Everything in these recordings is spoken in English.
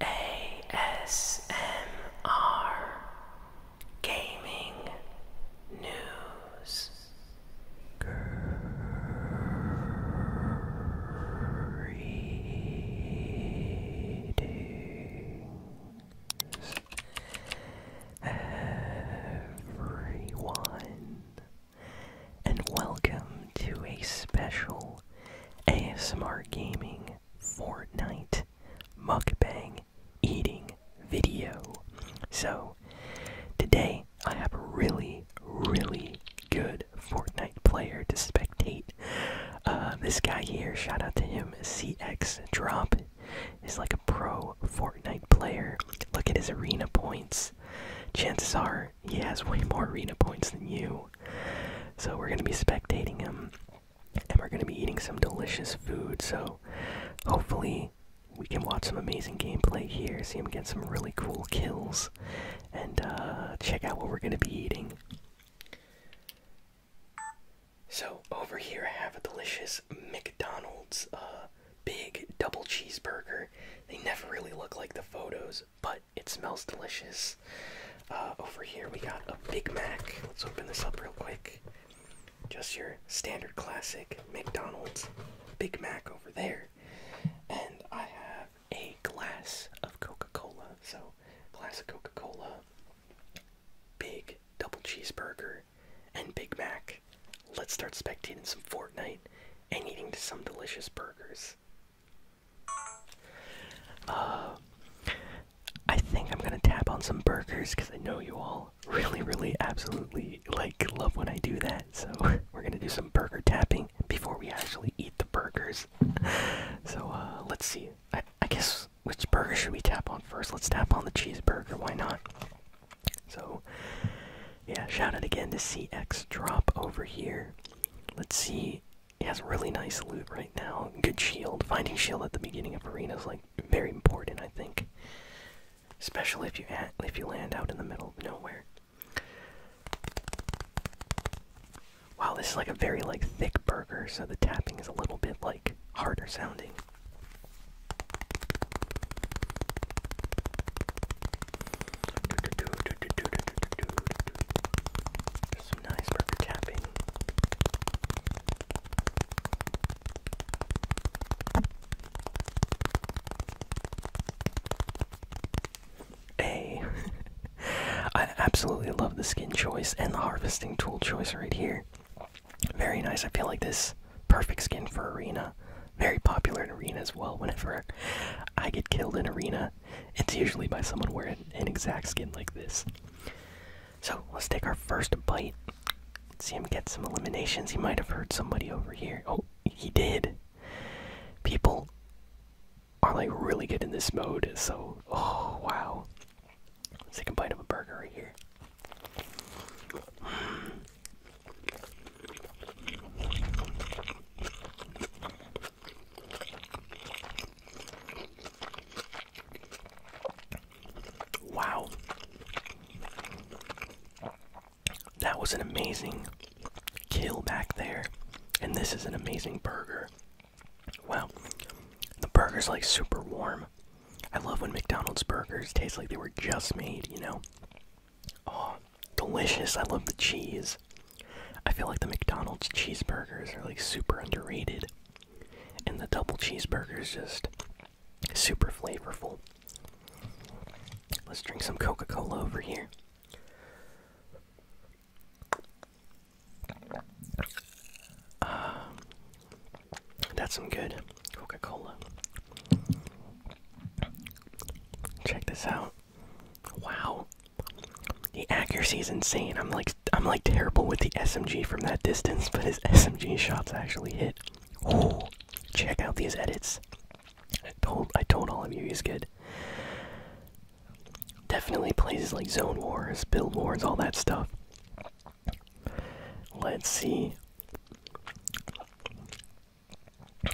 ASMR Gaming News Greetings everyone and welcome to a special ASMR Gaming, Fortnite, Mukbang, Eating Video. So, today I have a really, really good Fortnite player to spectate. Uh, this guy here, shout out to him, CX Drop, is like a pro Fortnite player. Look at his arena points. Chances are he has way more arena points than you. So we're going to be spectating him. And we're going to be eating some delicious food. So hopefully we can watch some amazing gameplay here, see him get some really cool kills, and uh, check out what we're going to be eating. So over here I have a delicious McDonald's uh, big double cheeseburger. They never really look like the photos, but it smells delicious. Uh, over here we got a Big Mac. Let's open this up real quick. Just your standard classic McDonald's Big Mac over there. And I have a glass of Coca Cola. So, glass of Coca Cola, big double cheeseburger, and Big Mac. Let's start spectating some Fortnite and eating some delicious burgers. Uh, I think I'm gonna tap on some burgers because I know you all really, really, absolutely like love when I do that. So we're gonna do some burger tapping before we actually eat the burgers. So uh, let's see. I, I guess which burger should we tap on first? Let's tap on the cheeseburger. Why not? So yeah, shout out again to CX Drop over here. Let's see. He has really nice loot right now. Good shield. Finding shield at the beginning of arena is like very important, I think. Especially if you if you land out in the middle of nowhere. Wow, this is like a very like thick burger, so the tapping is a little bit like harder sounding nice burger tapping. Hey, I absolutely love the skin choice and the harvesting tool choice right here. Very nice. I feel like this perfect skin for arena. Very popular in arena as well. Whenever I get killed in arena, it's usually by someone wearing an exact skin like this. So let's take our first bite. see him get some eliminations. He might have heard somebody over here. Oh, he did. People are like really good in this mode, so oh wow. Let's take a bite of a burger right here. Wow. That was an amazing kill back there. And this is an amazing burger. Well, The burger's like super warm. I love when McDonald's burgers taste like they were just made, you know? Oh, delicious. I love the cheese. I feel like the McDonald's cheeseburgers are like super underrated. And the double cheeseburger is just super flavorful. Let's drink some Coca-Cola over here. Um, that's some good Coca-Cola. Check this out. Wow. The accuracy is insane. I'm like I'm like terrible with the SMG from that distance, but his SMG shots actually hit. Oh, check out these edits. I told I told all of you he's good. Definitely plays like zone wars, build wars, all that stuff. Let's see.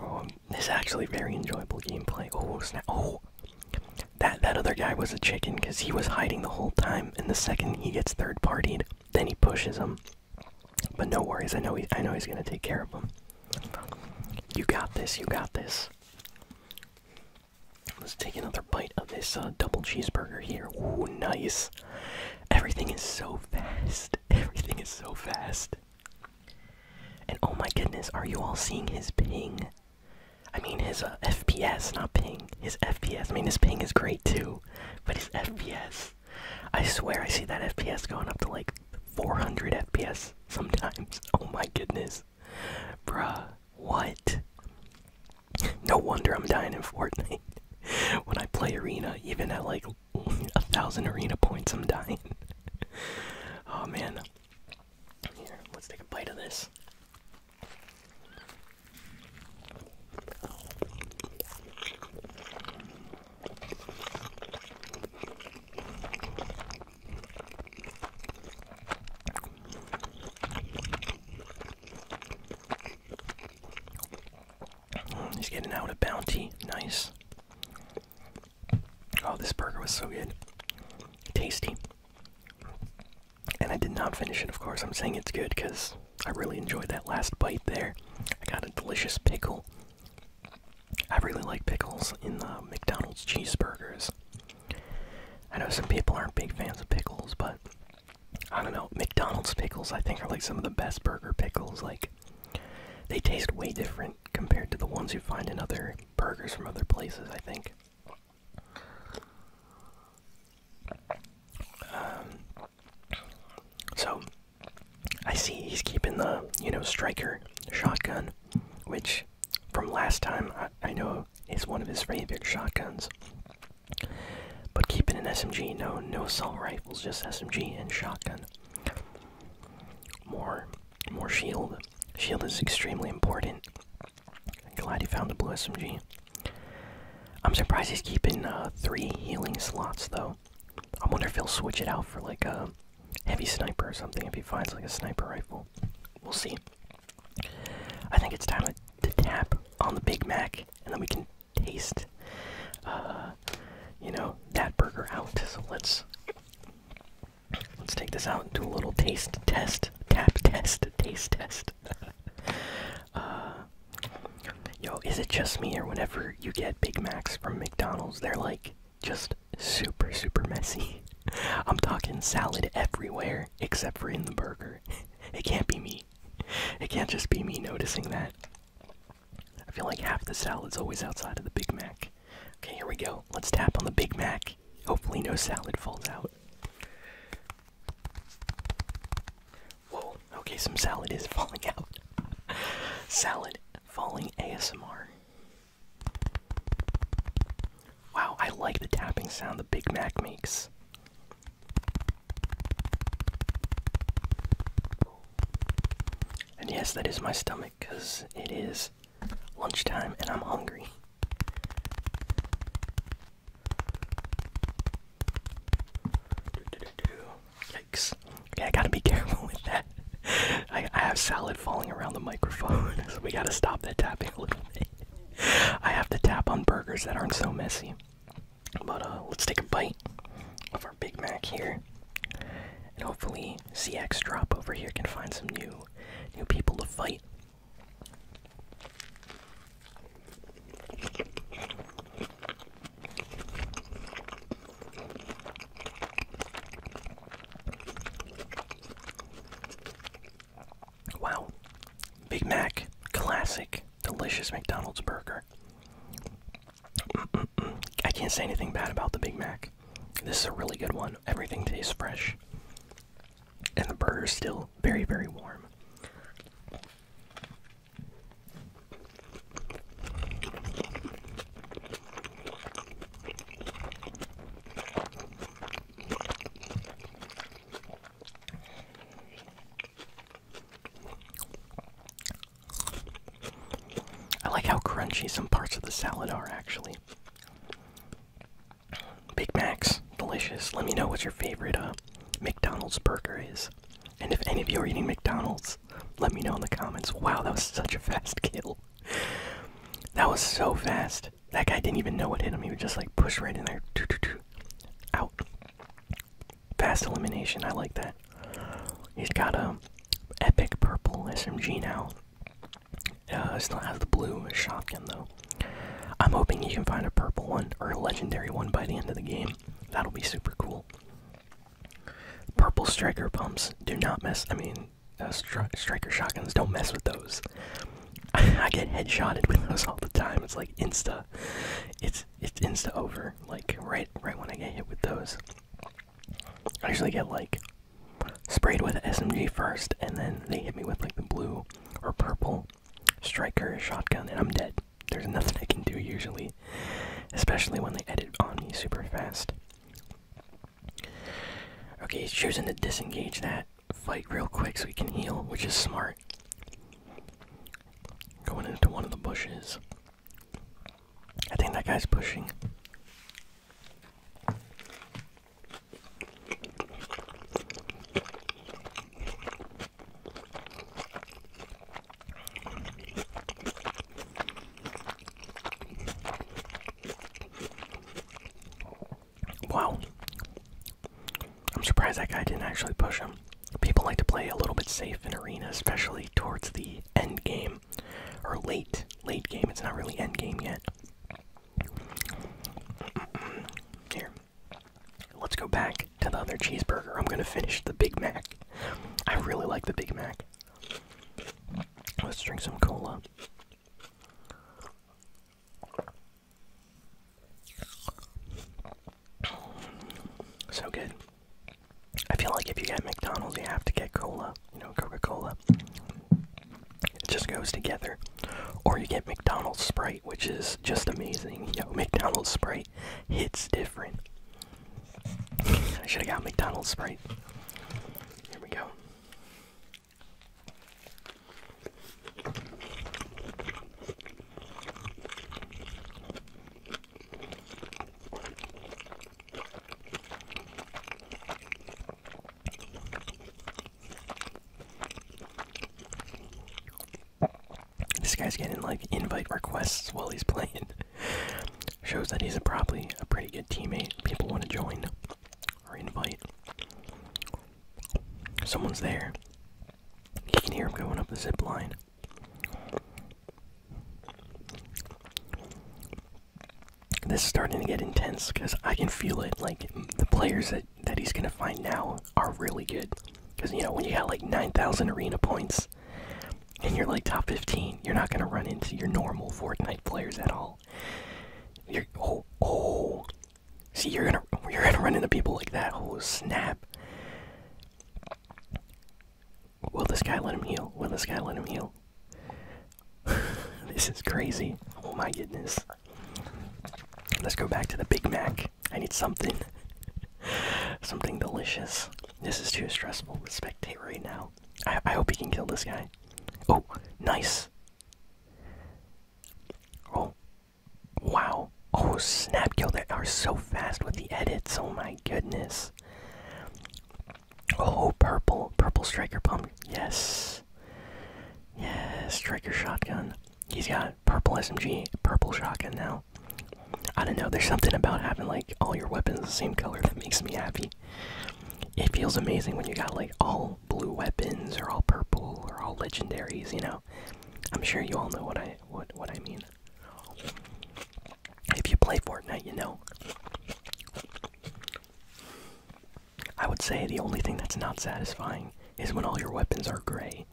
Um, this is actually very enjoyable gameplay. Oh snap! Oh, that that other guy was a chicken because he was hiding the whole time. And the second he gets 3rd partyed, then he pushes him. But no worries, I know he, I know he's gonna take care of him. You got this. You got this. Let's take another bite of this uh, double cheeseburger here. Ooh, nice. Everything is so fast. Everything is so fast. And oh my goodness, are you all seeing his ping? I mean, his uh, FPS, not ping. His FPS. I mean, his ping is great too, but his FPS. I swear I see that FPS going up to like 400 FPS sometimes. Oh my goodness. Bruh, what? No wonder I'm dying in Fortnite. when I play Arena, even at like a thousand arena points. I'm dying. oh man. Here, let's take a bite of this. he's getting out a bounty. Nice. Oh, this burger was so good. Tasty. And I did not finish it, of course. I'm saying it's good because I really enjoyed that last bite there. I got a delicious pickle. I really like pickles in the uh, McDonald's cheeseburgers. I know some people aren't big fans of pickles, but I don't know. McDonald's pickles, I think, are like some of the best burger pickles. Like, they taste way different compared to the ones you find in other burgers from other places, I think. Um, so, I see he's keeping the, you know, striker shotgun, which from last time I know is one of his favorite shotguns. But keeping an SMG, no, no assault rifles, just SMG and shotgun more more shield. Shield is extremely important. Glad he found the blue SMG. I'm surprised he's keeping uh, three healing slots though. I wonder if he'll switch it out for like a heavy sniper or something if he finds like a sniper rifle. We'll see. I think it's time to, tap on the Big Mac and then we can taste uh, you know, that burger out. So let's let's take this out and do a little taste test, tap test, taste test. Uh, yo, is it just me or whenever you get Big Macs from McDonald's, they're like just super super messy. I'm talking salad everywhere except for in the burger. it can't be me. It can't just be me noticing that. I feel like half the salad's always outside of the Big Mac. Okay, here we go. Let's tap on the Big Mac. Hopefully, no salad falls out. Whoa, okay, some salad is falling out. salad falling ASMR. Wow, I like the tapping sound the Big Mac makes. And yes, that is my stomach because it is lunchtime and I'm hungry. Yikes. Okay, I gotta be careful with that. I, I have salad falling around the microphone, so we gotta stop that tapping a little bit. I have to tap on burgers that aren't so messy. But uh, let's take a bite of our Big Mac here. And hopefully CX drop over here can find some new new people to fight. Wow. Big Mac, classic, delicious McDonald's burger. I can't say anything bad about the Big Mac. This is a really good one. Everything tastes fresh. And the burger is still very, very warm. I like how crunchy some parts of the salad are, actually. Big Macs, delicious. Let me know what your favorite uh, McDonald's burger is. And if any of you are eating McDonald's, let me know in the comments. Wow, that was such a fast kill. That was so fast. That guy didn't even know what hit him. He just like pushed right in there. Out. Fast elimination, I like that. He's got a epic purple SMG now. Uh, still has the blue shotgun though. I'm hoping he can find a purple one or a legendary one by the end of the game. That'll be super cool. Purple striker pumps do not mess. I mean, uh, striker shotguns don't mess with those. I get headshotted with those all the time. It's like insta. It's it's insta over. Like right, right when I get hit with those, I usually get like sprayed with SMG first, and then they hit me with like the blue or purple striker shotgun, and I'm dead. There's nothing I can do usually, especially when they edit on me super fast. Okay, he's choosing to disengage that fight real quick so he can heal, which is smart. Going into one of the bushes. I think that guy's pushing. Wow. I'm surprised that guy didn't actually push him. People like to play a little bit safe in Arena, especially towards the end game or late, late game. It's not really end game yet. Here, let's go back to the other cheeseburger. I'm gonna finish the Big Mac. I really like the Big Mac. Let's drink some cola. So good. I feel like if you get McDonald's, you have to get cola, you know, Coca Cola. It just goes together. Or you get McDonald's Sprite, which is just amazing. You McDonald's Sprite hits different. I should have got McDonald's Sprite. Here we go. This guy's getting like invite requests while he's playing. Shows that he's probably a pretty good teammate. People want to join or invite. Someone's there. You can hear him going up the zip line. This is starting to get intense because I can feel it. Like the players that that he's gonna find now are really good. Because you know when you got like nine thousand arena points and you're like top fifteen, you're not gonna run into your normal Fortnite players at all. You're oh oh. See, you're gonna you're gonna run into people like that. Oh snap! Will this guy let him heal? Will this guy let him heal? this is crazy. Oh my goodness. Let's go back to the Big Mac. I need something. something delicious. This is too stressful to spectate right now. I, I hope he can kill this guy. Oh, nice. Oh, Wow. Oh, snap. Yo, they are so fast with the edits. Oh, my goodness. Oh, purple. Purple striker pump. Yes. Yes, striker shotgun. He's got purple SMG, purple shotgun now. I don't know, there's something about having like all your weapons the same color that makes me happy. It feels amazing when you got like all blue weapons or all purple or all legendaries, you know. I'm sure you all know what I what what I mean. If you play Fortnite, you know. I would say the only thing that's not satisfying is when all your weapons are gray.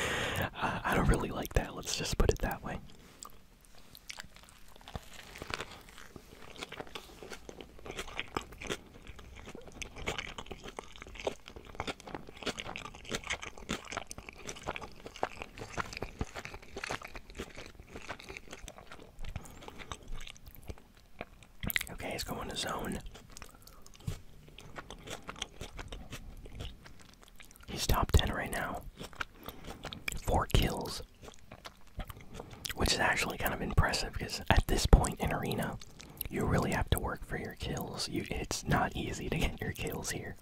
I don't really like that, let's just put it that way. Okay, he's going to zone. He's top 10 right now. Four kills. Which is actually kind of impressive because at this point in Arena, you really have to work for your kills. You, it's not easy to get your kills here.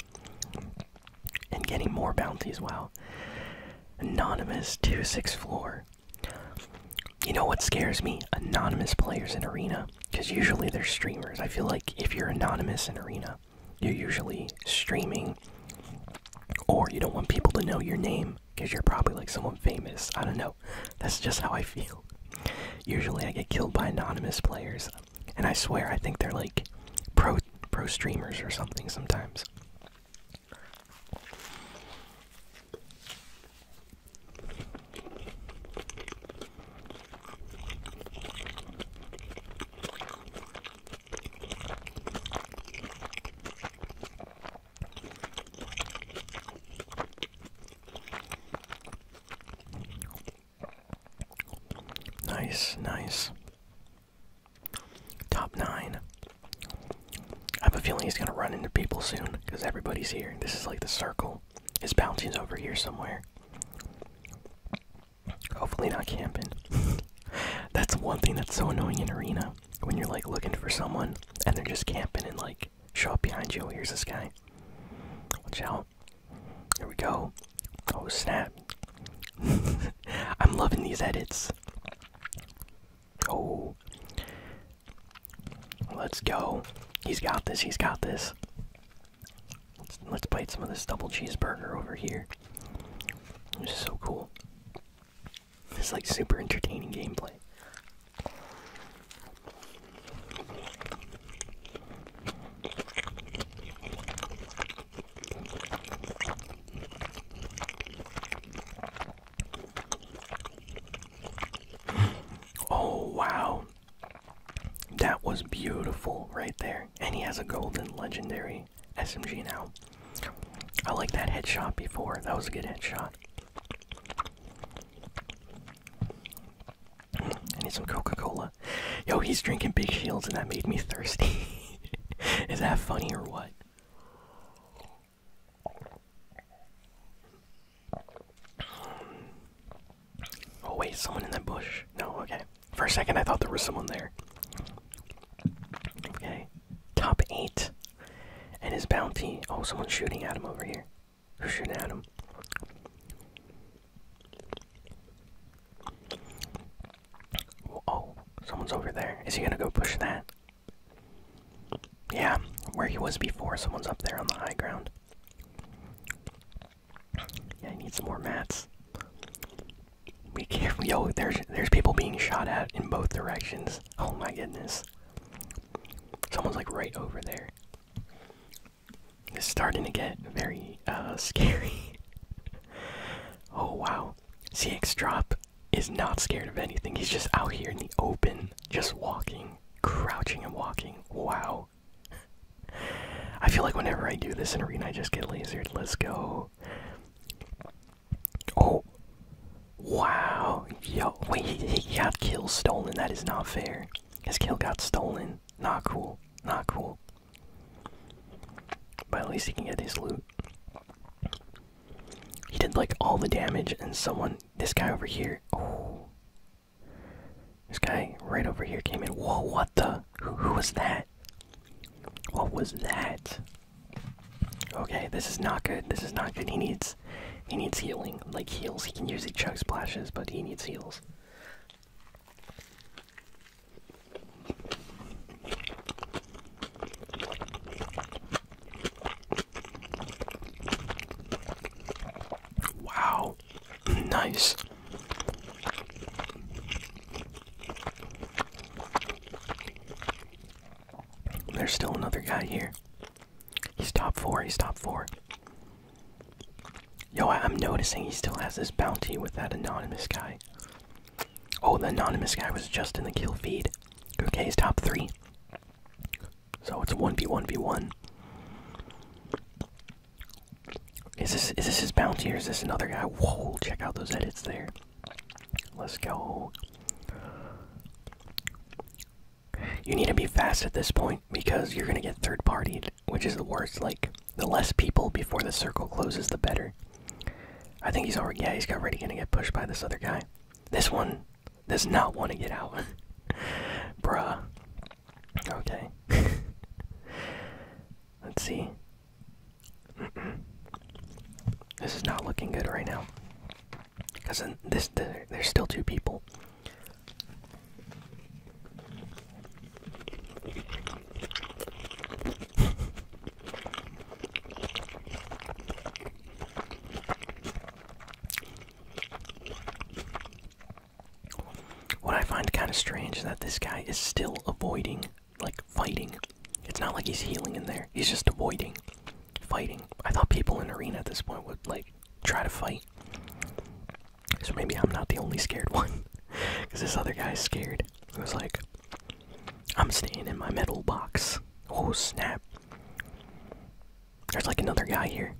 And getting more bounties, wow. Anonymous 2-6 floor. You know what scares me? Anonymous players in Arena. Because usually they're streamers. I feel like if you're anonymous in Arena, you're usually streaming. Or you don't want people to know your name. Because you're probably like someone famous. I don't know. That's just how I feel. Usually I get killed by anonymous players and I swear I think they're like pro pro streamers or something sometimes. Nice, nice. Top nine. I have a feeling he's gonna run into people soon because everybody's here. This is like the circle. His bounty's over here somewhere. Hopefully not camping. that's one thing that's so annoying in arena when you're like looking for someone and they're just camping and like show up behind you. Oh, here's this guy. Watch out. Here we go. Oh snap. I'm loving these edits. Oh. Let's go. He's got this. He's got this. Let's, let bite some of this double cheeseburger over here. This is so cool. It's like super entertaining gameplay. Oh, wow. That was beautiful right there. And he has a golden legendary SMG now. I like that headshot before. That was a good headshot. I need some Coca Cola. Yo, he's drinking big shields, and that made me thirsty. Is that funny or what? Oh, wait, someone in that bush. No, okay. For a second, I thought there was someone there. Okay. Top 8. And his bounty. Oh, someone's shooting at him over here. Who's shooting at him? Oh, someone's over there. Is he gonna go push that? Yeah, where he was before, someone's up there on the high ground. Yeah, I need some more mats. We can't. Yo, there's there's people being shot at in both directions. Oh my goodness. Someone's like right over there. It's starting to get very uh, scary. oh wow. CX Drop is not scared of anything. He's just out here in the open, just walking, crouching and walking. Wow. I feel like whenever I do this in arena, I just get lasered. Let's go. Oh. Wow. Yo. Wait, he, got kill stolen. That is not fair. His kill got stolen. Not cool. Not cool. But at least he can get his loot. He did like all the damage, and someone, this guy over here, oh, this guy right over here came in. Whoa, what the? Who, was that? What was that? Okay, this is not good. This is not good. He needs he needs healing. Like heals, he can use the chug splashes, but he needs heals. Wow, nice. There's still another guy here. He's top four. He's top four. Yo, I'm noticing he still has this bounty with that anonymous guy. Oh, the anonymous guy was just in the kill feed. Okay, he's top three. So it's 1v1v1. Is this is this his bounty or is this another guy? Whoa, check out those edits there. Let's go. You need to be fast at this point because you're gonna get third partyed, which is the worst. Like the less people before the circle closes, the better. I think he's already. Yeah, he's already gonna get pushed by this other guy. This one does not want to get out, bruh. Okay. Let's see. This is not looking good right now. Because in this, there's still two people. what I find kind of strange is that this guy is still avoiding, like, fighting. It's not like he's healing in there, he's just avoiding fighting. I thought people in Arena at this point would, like, try to fight. So maybe I'm not the only scared one. Because this other guy's scared. He was like, I'm staying in my metal box. Oh snap. There's like another guy here.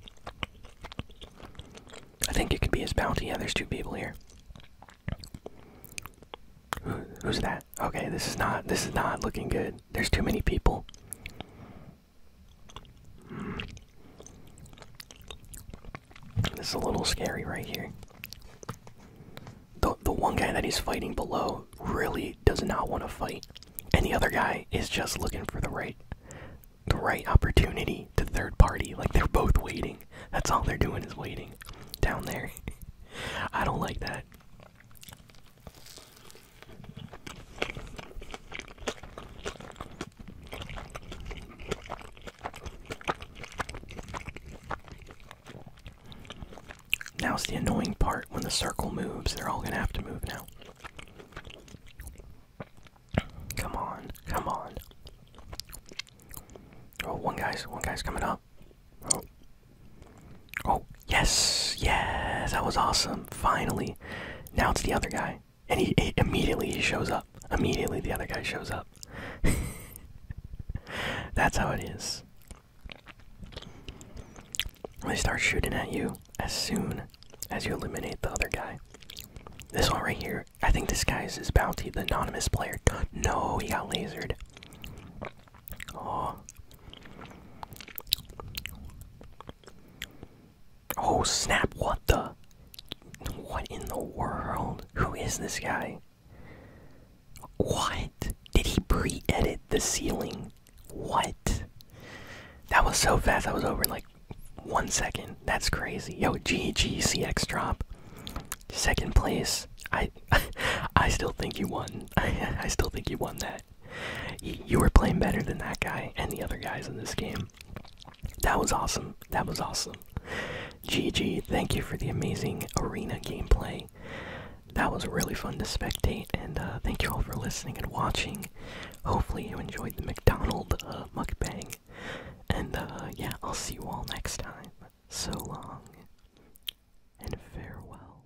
I think it could be his bounty. Yeah, there's two people here. who's that? Okay, this is not this is not looking good. There's too many people. This is a little scary right here. The the one guy that he's fighting below really does not want to fight. And the other guy is just looking for the right the right opportunity to third party. Like they're both waiting. That's all they're doing is waiting down there. I don't like that. Now it's the annoying part when the circle moves, they're all gonna have to move now. Come on, come on. Oh, one guy's one guy's coming up. Oh, oh. Yes, yes, that was awesome. Finally. Now it's the other guy. And he, immediately he shows up. Immediately the other guy shows up. That's how it is. They start shooting at you as soon as you eliminate the other guy. This one right here, I think this guy is his bounty, the anonymous player. No, he got lasered. Oh. Oh snap, what the? What in the world? Who is this guy? What? Did he pre edit the ceiling? What? That was so fast, I was over in like one second. That's crazy. Yo, GGCX drop. Second place. I I still think you won. I still think you won that. You were playing better than that guy and the other guys in this game. That was awesome. That was awesome. GG, thank you for the amazing arena gameplay. That was really fun to spectate, and uh, thank you all for listening and watching. Hopefully, you enjoyed the McDonald uh, mukbang. And uh, yeah, I'll see you all next time. So long, and farewell.